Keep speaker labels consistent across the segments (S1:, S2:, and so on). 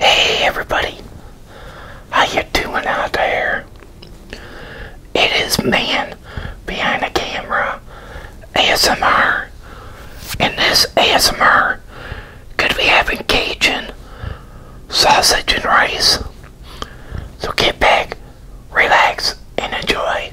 S1: Hey everybody, how you doing out there? It is man behind the camera ASMR. and this ASMR, could be having Cajun sausage and rice. So get back, relax, and enjoy.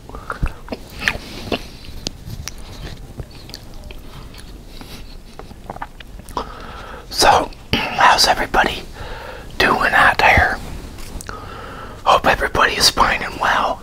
S1: So, how's everybody doing out there? Hope everybody is fine and well.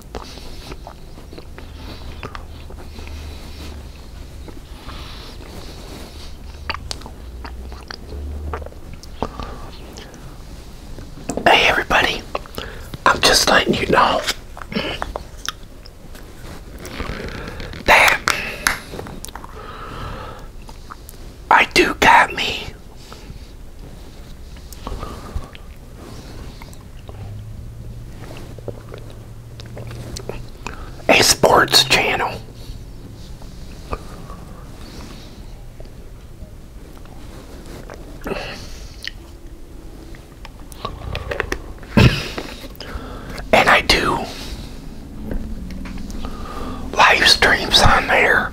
S1: Hey everybody, I'm just letting you know that I do got me a sports channel. And I do live streams on there.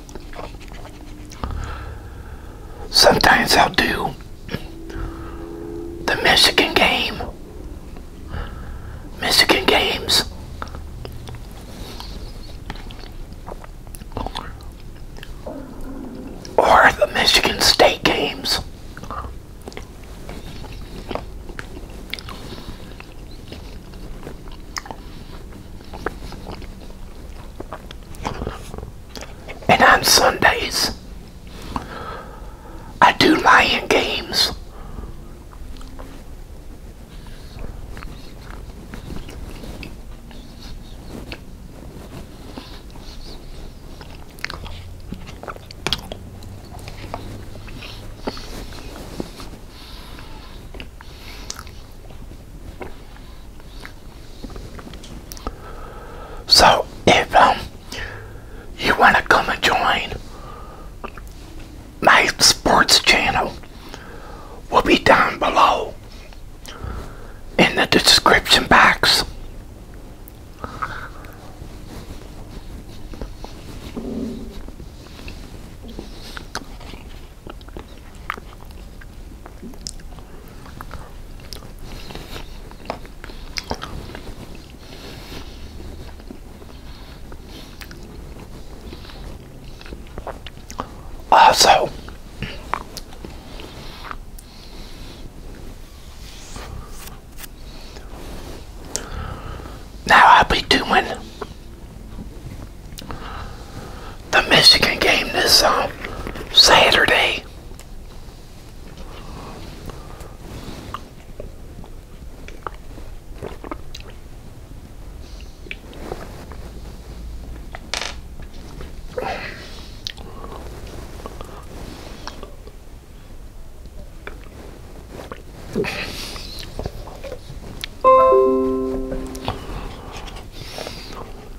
S1: Sometimes I'll do the Michigan game. Michigan games. Or the Michigan State games. And on Sundays, I do lion games. So, if um, you want to come and join my sports channel, will be down below in the description box. Also, now I'll be doing the Michigan game this um, Saturday.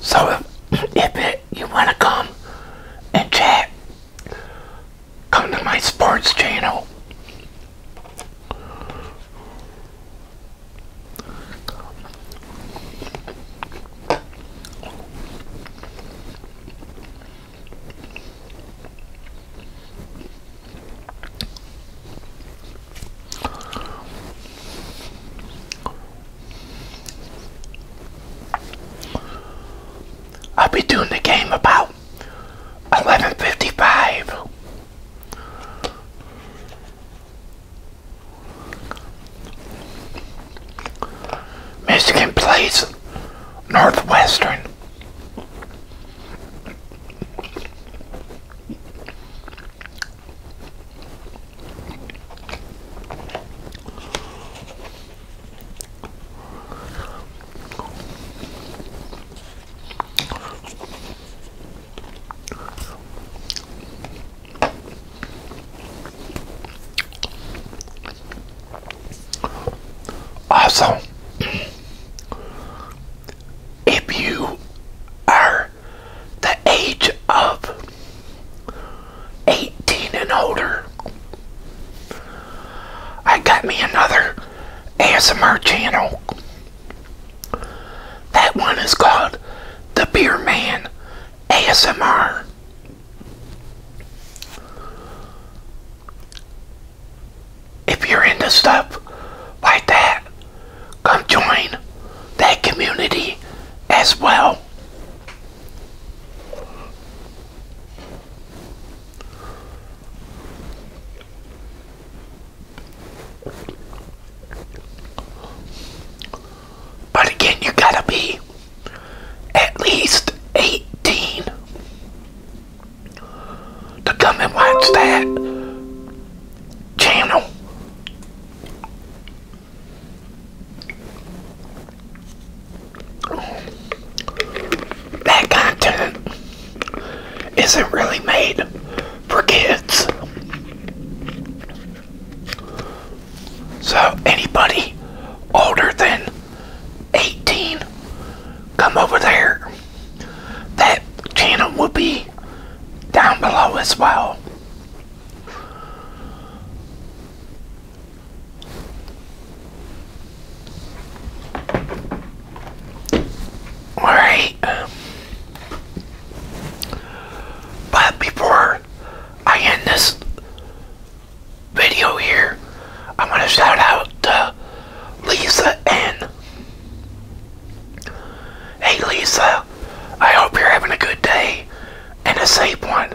S1: So if, it, you want to come and chat, come to my sports channel. I'll be doing the game about 11.55. Michigan plays Northwestern. Also, if you are the age of 18 and older, I got me another ASMR channel. That one is called The Beer Man ASMR. If you're into stuff like that, come join that community as well. But again, you gotta be at least 18 to come and watch that channel. That content isn't really made for kids. So anybody older than 18, come over there. That channel will be down below as well. Alright. Um, but before I end this video here, I'm going to shout out uh, Lisa and Hey Lisa, I hope you're having a good day and a safe one.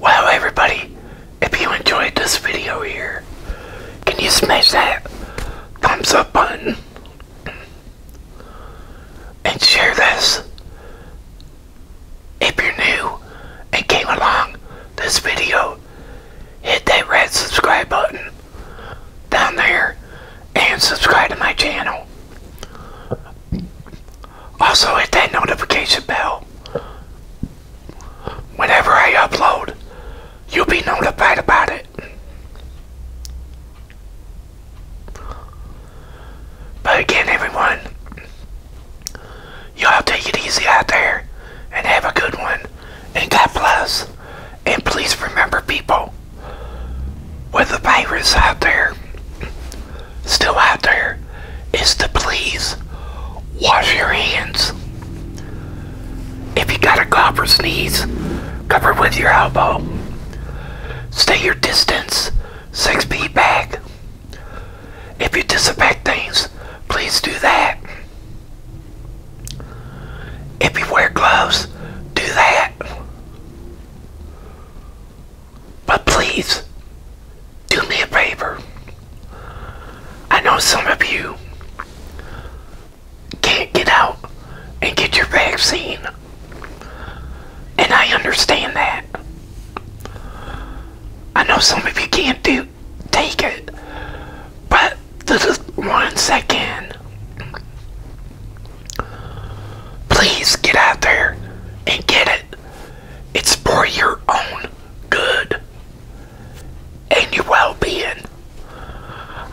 S1: Wow, everybody, if you enjoyed this video here, can you smash that thumbs up button? and share this if you're new and came along this video hit that red subscribe button down there and subscribe to my channel also hit that notification bell whenever I upload you'll be notified about it but again, everyone, y'all take it easy out there and have a good one. And God bless. And please remember, people, with the virus out there, still out there, is to please wash your hands. If you got a cough or sneeze, cover with your elbow. Stay your distance, six feet back. If you disinfect things, please do that. If you wear gloves, do that. But please, do me a favor. I know some of you can't get out and get your vaccine. And I understand that. I know some of you can't do take it, but just one second. Please get out there and get it. It's for your own good and your well being.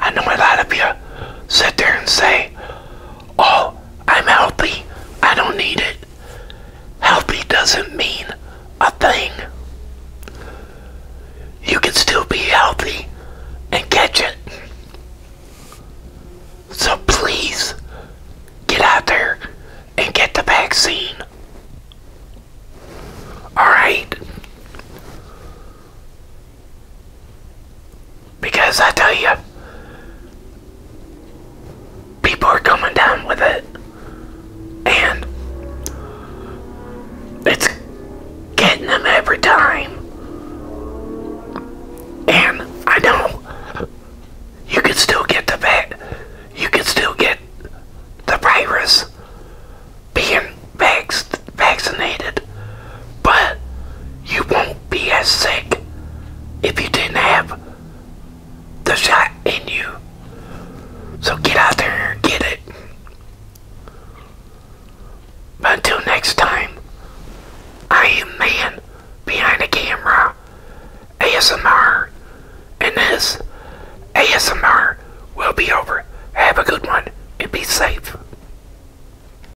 S1: I know a lot of you sit there and say, oh, I'm healthy, I don't need it. Healthy doesn't mean a thing. You can still be healthy and catch it. So please get out there and get the vaccine. Alright? Because I tell you, people are coming down with it. And it's getting them every time. And I know you can still get the vet, you can still get the virus being vax vaccinated, but you won't be as sick if you didn't have the shot in you. So get out there and get it. until next time, I am man behind the camera, ASMR, and this ASMR will be over. Have a good one and be safe.